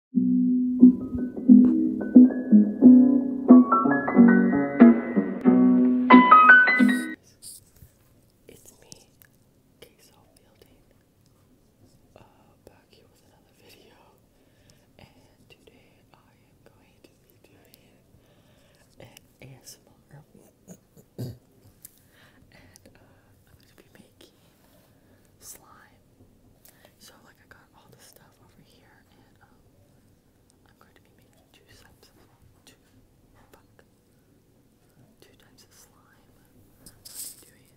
It's me, Queso Fielding, uh, back with another video, and today I am going to be doing ASMR, and uh, I'm going to be making slime. So like I got all this stuff over here and um, I'm going to be making two types of two two types of slime. I'm doing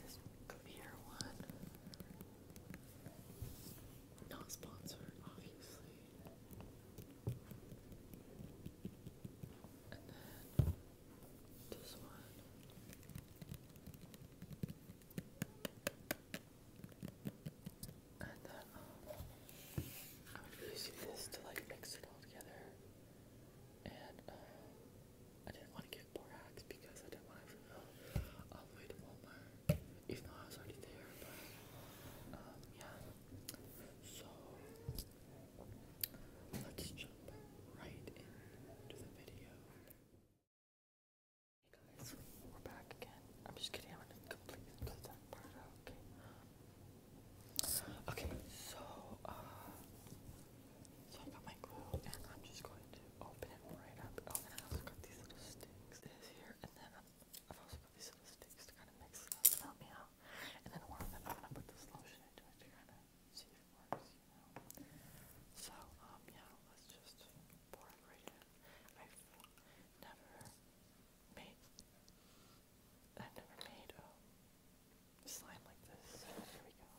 this clear one. Not sponsored, obviously. This one. And then um, I'm using this to like mix it all together. And uh, I didn't want to get borax because I didn't want to go all the way even though I was already there. But um, yeah. So let's jump right into the video. Hey guys, we're back again. I'm just kidding, I'm gonna completely cut that part okay? Okay, so, uh, so I got my glue and I'm just going to open it right up. Oh, and I also got these little sticks here, and then i have also got these little sticks to kind of mix it up help me out. And then one of them, I'm gonna put this lotion into it to kind of see if it works, you know. So, um, yeah, let's just pour it right in. I've never made, I've never made a slime like this, so here we go.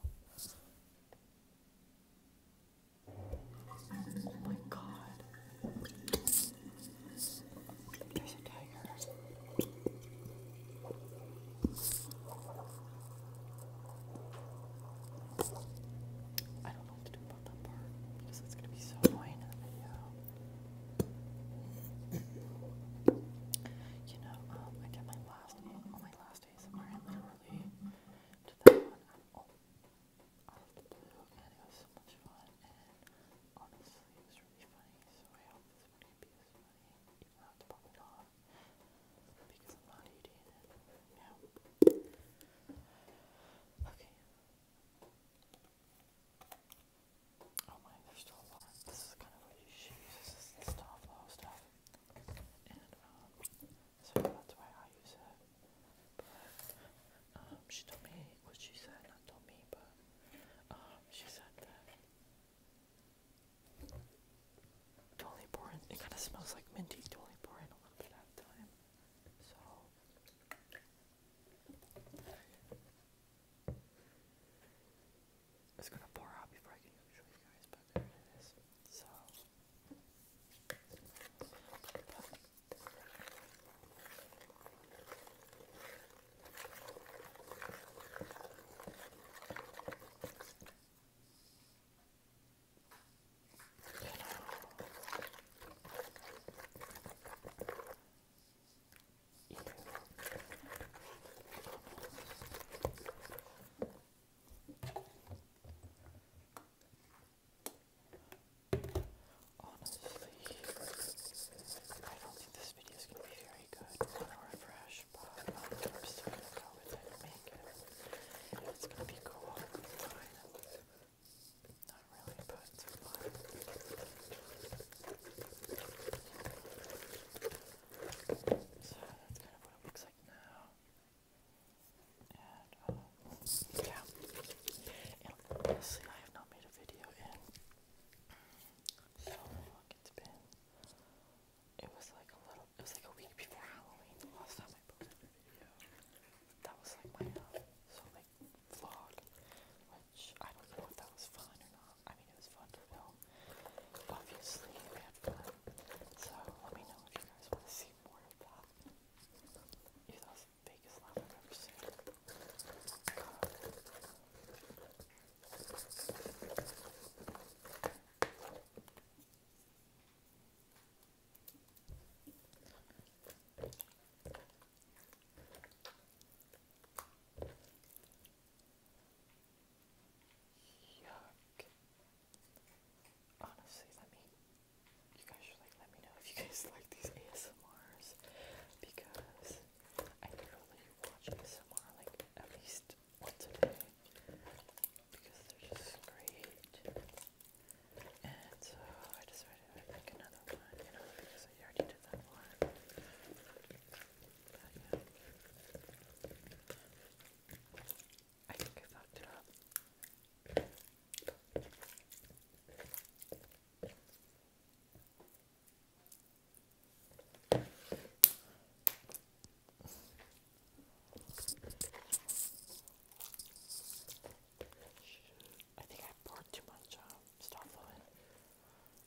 Oh my god. There's a tiger. I don't know what to do about that part because it's going to be so annoying in the video. you know, um, I did my last on oh, my last days of I literally did that one out oh, of the blue, and it was so one Okay. Oh my, there's still a lot. This is kind of what you shoes. stuff, low stuff. And, um, so that's why I use it. But, um, she told me what she said, not told me, but, um, she said that Totally boring. It kind of smells like minty. Totally boring a little bit at a time. So. It's gonna pour out before I can show you guys, but there it is. So. Honestly, I don't think this video is going to be very good or fresh, but I'm going to go with it and make it. It's gonna be cool. So that's kind of what it looks like now. And, um, yeah. honestly, I have not made a video in mm, so long. It's been it was like a little. It was like a week before Halloween. The last time I posted a video, that was like my uh, so like vlog, which I don't know if that was fun or not. I mean, it was fun to film. Obviously, So let me know if you guys want to see more of that. Yeah, that the biggest laugh I've ever seen. Yuck. Honestly, let me. You guys should like let me know if you guys like these ASMRs because I literally watch ASMR like at least today because they're just great. And so I decided I'd make another one, you know, because I already did that one. But yeah. I think I fucked it up. I think I poured too much um, star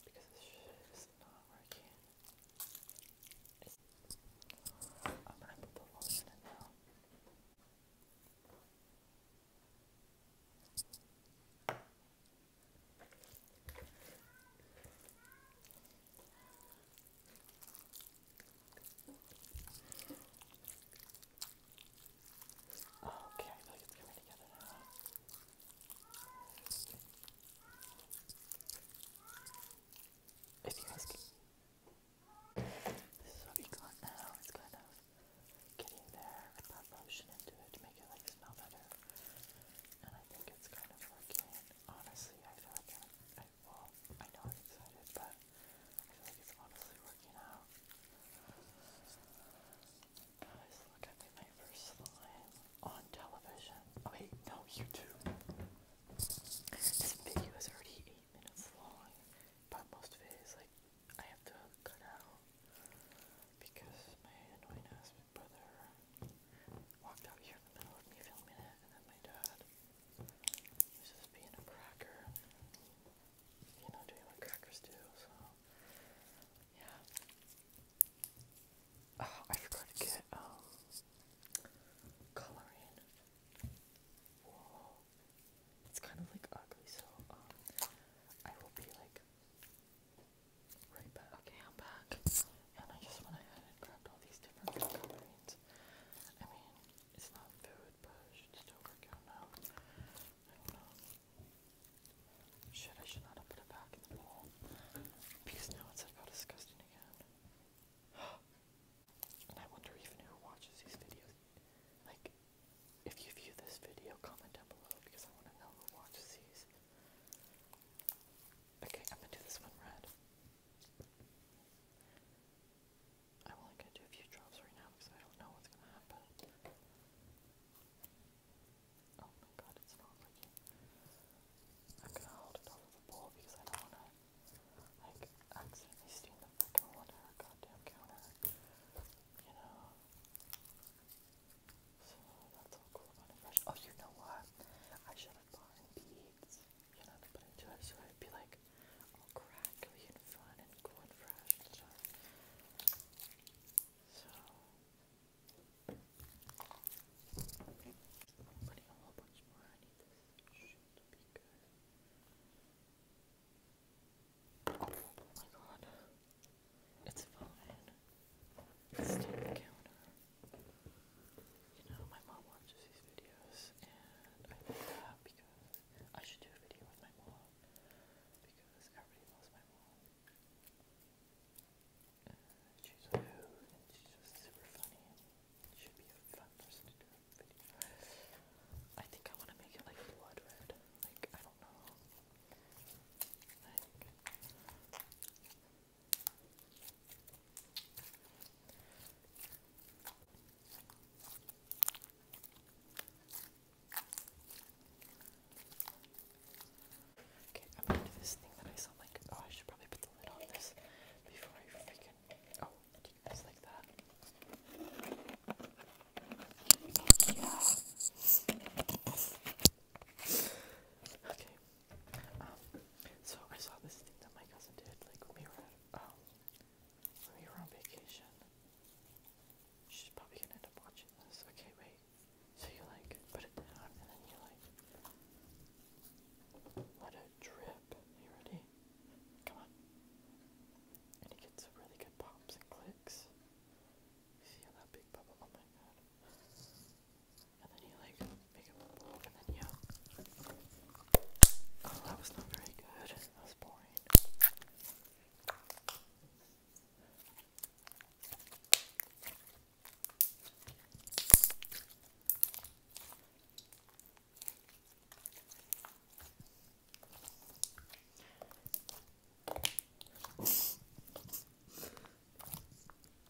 because this shit is not working. I'm gonna put the lotion in now. Okay, I feel like it's coming together now. If you guys can, this is what we got now. It's kind of getting there. I put lotion into it to make it like smell better, and I think it's kind of working. Honestly, I feel like well, I know I'm excited, but I feel like it's honestly working out. Guys, look at my first slime on television. Oh, wait, no, YouTube. This video is already 8 minutes long, but most of it is like, I have to cut out because my annoying ass brother walked out here in the middle of me filming it, and then my dad this being a cracker. You know, doing what crackers do, so. Yeah. Oh, I forgot to get, um, coloring. Whoa. It's kind of like ugly, so, um, I will be like, right back. Okay, I'm back. And I just went ahead and grabbed all these different concretes. I mean, it's not food, but it should still work out now. I don't know. Shit, I should not have put it back in the bowl. Because now it's like all disgusting again. and I wonder even who watches these videos. Like, if you view this video, comment down below because I want to know who watches these. Okay, I'm gonna do this one red. I'm only gonna do a few drops right now because I don't know what's gonna happen. Oh my god, it's not working. I'm gonna hold it over the bowl because I don't wanna like accidentally steam the fucking water or goddamn counter. You know. So that's all cool about it. Oh you know what? I should have bought beads you know, to into it. So I'd be like, all crackly and fun and cool fresh and stuff. So, putting a whole bunch more. I need this shit to Oh my god. It's fine. It's still the counter. You know, my mom watches these videos, and I made that because I should do a video with my mom because everybody loves my mom. And she's a and she's just super funny, and be a fun person to do a video. I think I want to make it like blood red. Like I don't know. Okay, I'm going to this thing that I saw, like, oh, I should probably put the lid on this before I freaking, oh, I did this like that. Yeah. Okay, um, so I saw this thing that my cousin did, like when we were at, um, when we were on vacation. She's probably gonna end up watching this. Okay, wait. So you like put it down and then you like let it drip. You ready? Come on. And it gets really good pops and clicks. see that big bubble? Oh my god. And then you like make a bowl and then you. Oh, that was not very good. That was boring.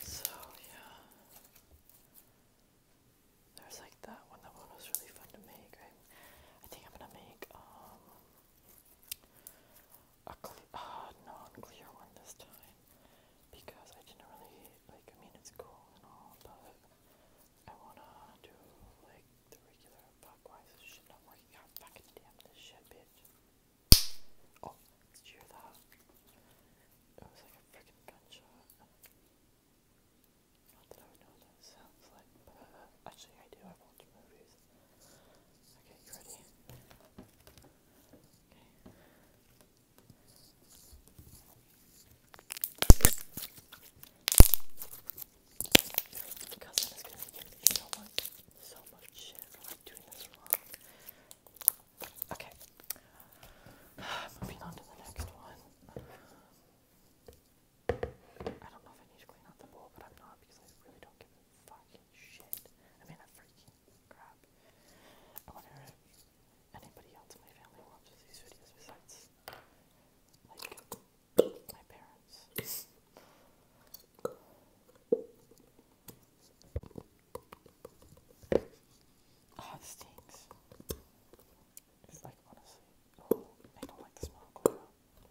So, yeah. There's like that one. That one was really fun to make. I, think I'm gonna make um a cle- uh, non-clear one this time because I didn't really like. I mean, it's cool and all, but I wanna do like the regular clockwise. Shit, not working out. Fucking damn this shit, bitch. Oh, did you hear that? It was like a freaking gunshot. Not that I would know what that sounds like, but uh, actually I do, I watch movies. Okay, you ready? Okay. My cousin is gonna give me so much, so much shit doing this Okay. Moving on to the next one. I don't know if I need to clean out the bowl, but I'm not because I really don't give a fucking shit. I mean, I freaking crap. I wonder if anybody else in my family watches these videos besides, like, my parents. Oh, it stinks. It's like, honestly, oh, don't like the smell of oil. After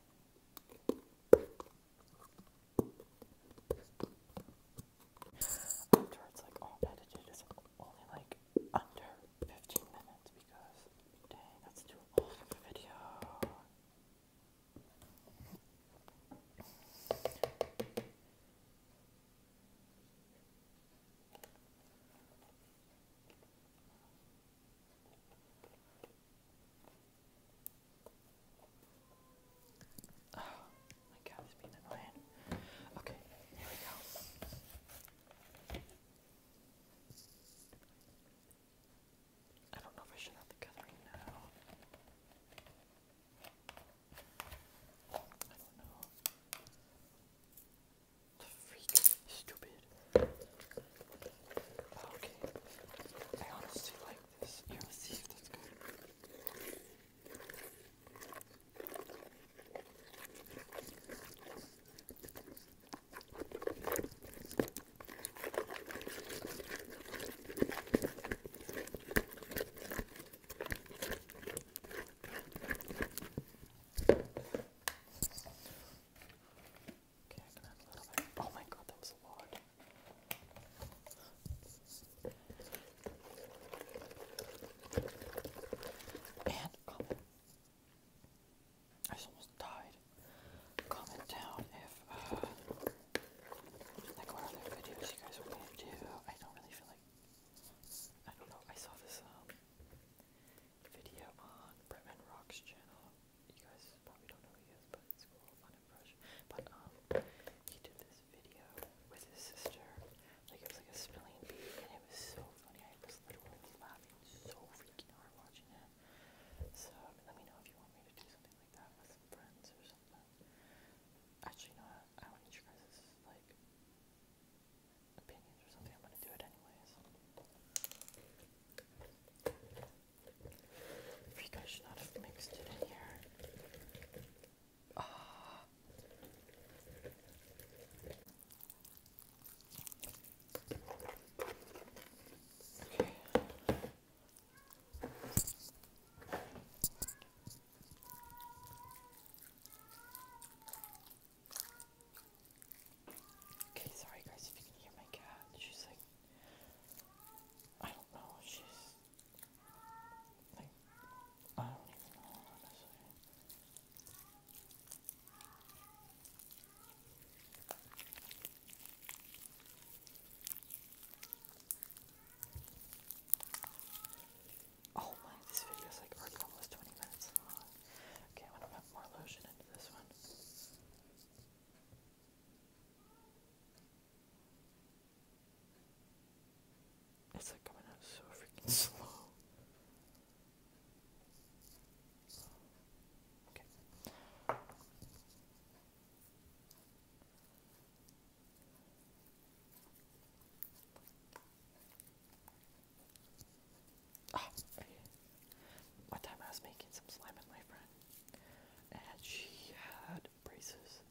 it's like all edited, it's only like under 15 minutes because dang, that's too long of a video. Oh, my God, it's being annoying. Okay, here we go. I don't know if I should have the gathering now. I don't know. The freak stupid. Okay. I honestly like this. Here, let see if that's good. Okay, I can add a little bit. Oh my god, that was a lot. And comment. I almost died. Comment down if uh, like, what other videos you guys want me to do? I don't really feel like. I don't know. I saw this um, video on Bretman Rock's channel. You guys probably don't know who he is, but it's cool. Fun impression. But um, he did this video with his sister. Like it was like a spelling bee, and it was so funny. I was literally laughing so freaking hard watching it. So let me know if you want me to do something like that with some friends or something. Actually, no, I don't need your guys' like opinions or something. I'm gonna do it anyways. you guys should not have mixed it in here. Ah. Okay. Okay, sorry guys if you can hear my cat. She's like, I don't know, she's like, I don't even know, honestly. Oh my, this video is like almost 20 minutes long. Okay, I'm gonna put more lotion into this one. It's like coming out so freaking slow. Okay. Oh, one time I was making some slime with my friend, and she had braces,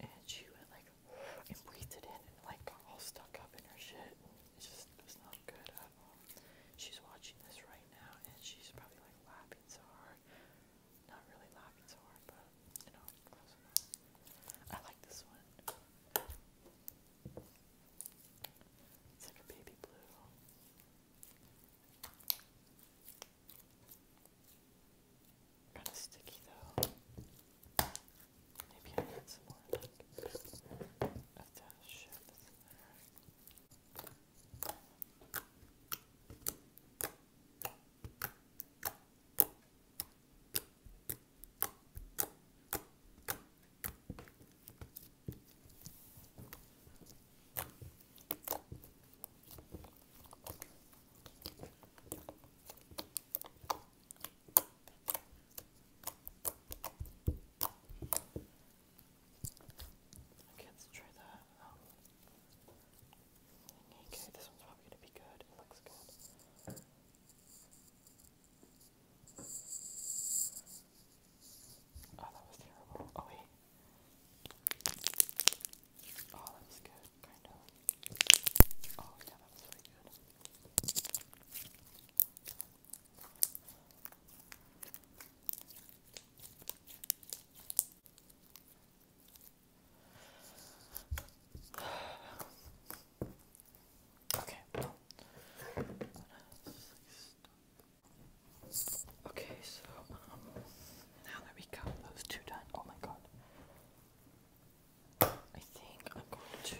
and she went like and breathed it in, and like got all stuck up in her shit. It just was not good at all. She's watching this right now, and she's probably like laughing so hard. Not really lobby tour, but you know, close enough. I like this one. It's like a baby blue. Kind of sticky though. Maybe I need some more like of Okay, let's try that. Oh. Okay, this one's probably gonna be good. It looks good. Oh, that was terrible. Oh wait. Oh, that was good, kind of. Oh yeah, that really good. Okay. Okay, so um, now that we got those two done, oh my god. I think I'm going to.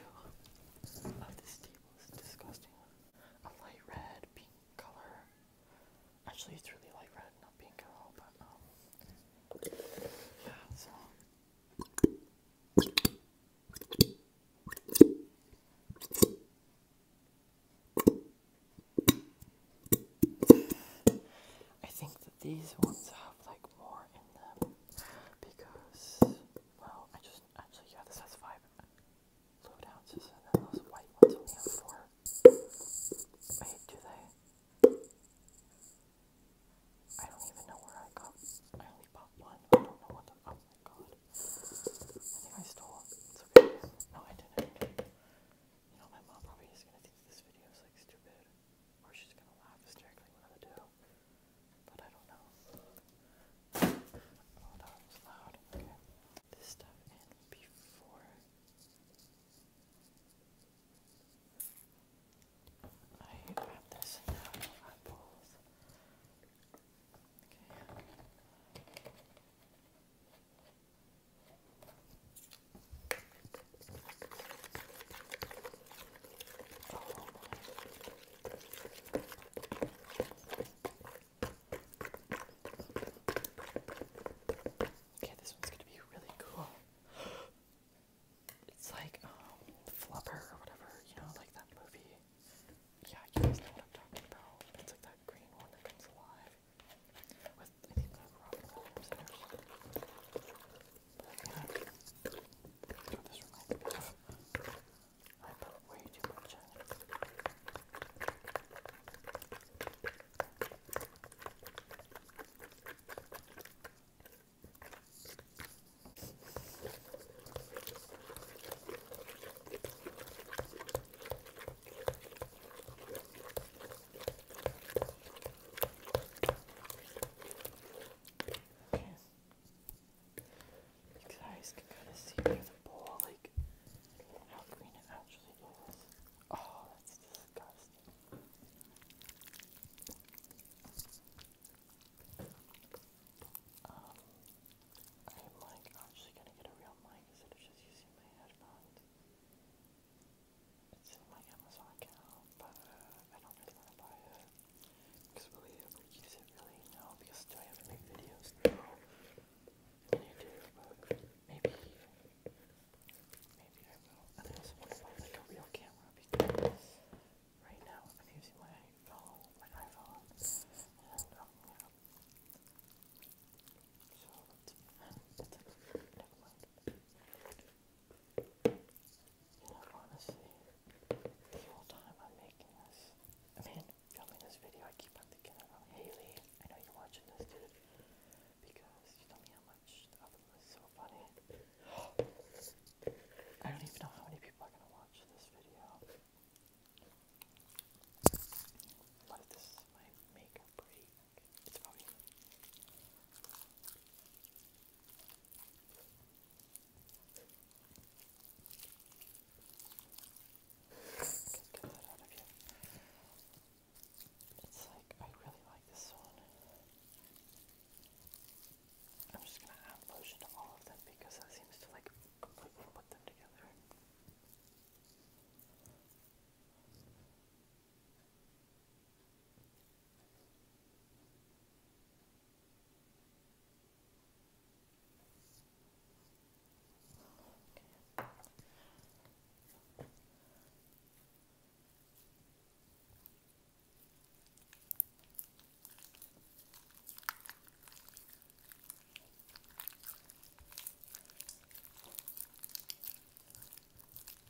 Uh, this table is disgusting. A light red, pink color. Actually, it's really light red, not pink but um, yeah, so. I think that these ones have like more in them because, well, I just actually, yeah, this has five fluid ounces, and then white ones only Wait, do they? I don't even know where I got. I only bought one. I don't know what the. Oh my god. I think I stole it. No, I didn't. You know, my mom probably is gonna think this video is like stupid. Or she's gonna laugh hysterically when I do. But I don't know. Oh, that was loud. Okay. This stuff in before. I grab this and now I both. Okay. Oh my. Okay, this one's gonna be really cool. It's like um flubber or whatever, you know, like that movie. Yeah, you guys know what I'm talking about. It's like that green one that comes alive. With I think the Robin Williams in This reminds me of I put way too much you guys can kind of see through the bowl, like how green it actually is. Oh, that's disgusting. Um, I'm like actually gonna get a real mic instead of just using my headphones. It's in my Amazon account, but I don't really want to buy it. Because will we ever use it really? No, because do I ever make videos? No. I do, but Maybe, maybe I will. And I also want to buy like a real camera because right now I'm using my phone, my iPhone, um, So honestly, the whole time I'm making this, I mean, filming this video, I keep on thinking about oh, Haley. I know you're watching this, dude because you told me how much the was so funny. I don't even know how many people are gonna watch this video. But this my make break. It's probably Okay, get that out of here. It's like, I really like this one. I'm just gonna add lotion to all of them because that seems to like completely put them together. Okay.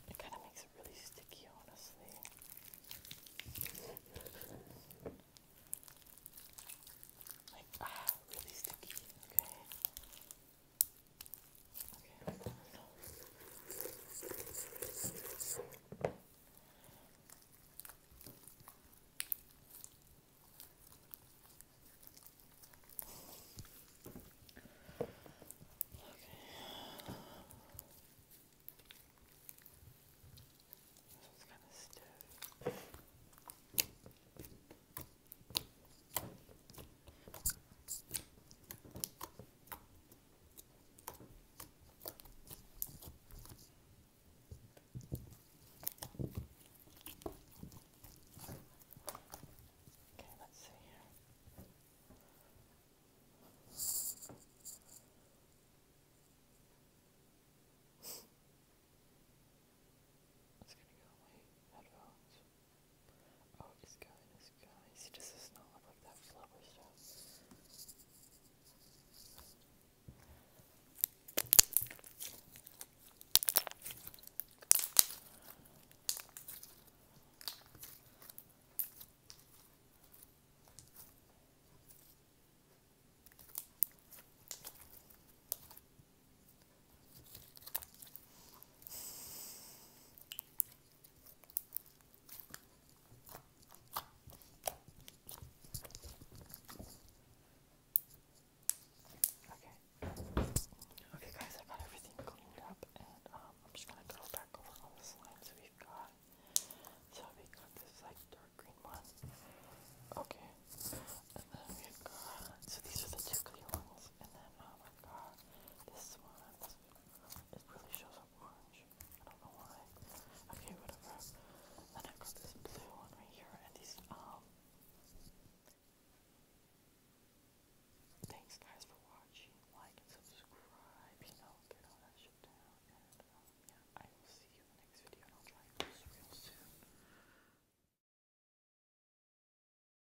It kind of makes it really sticky, honestly. like, ah, really sticky, okay? Okay. This one's kind of stiff. Okay, let's see here. It's gonna go my headphones. Oh, it's going, it's going. See, this does not look like that flower stuff. Okay. Okay guys, I got everything cleaned up and um, I'm just gonna go back over all the slimes we've got. So we got this like dark green one. Okay. And then we got so these are the two ones and then um, this one it really shows up orange. I don't know why. Okay, whatever. Then I got this blue one right here and these um Thanks guys for watching. Like and you know, get all that shit down. And um, yeah, I will see you in the next video and I'll try this real soon.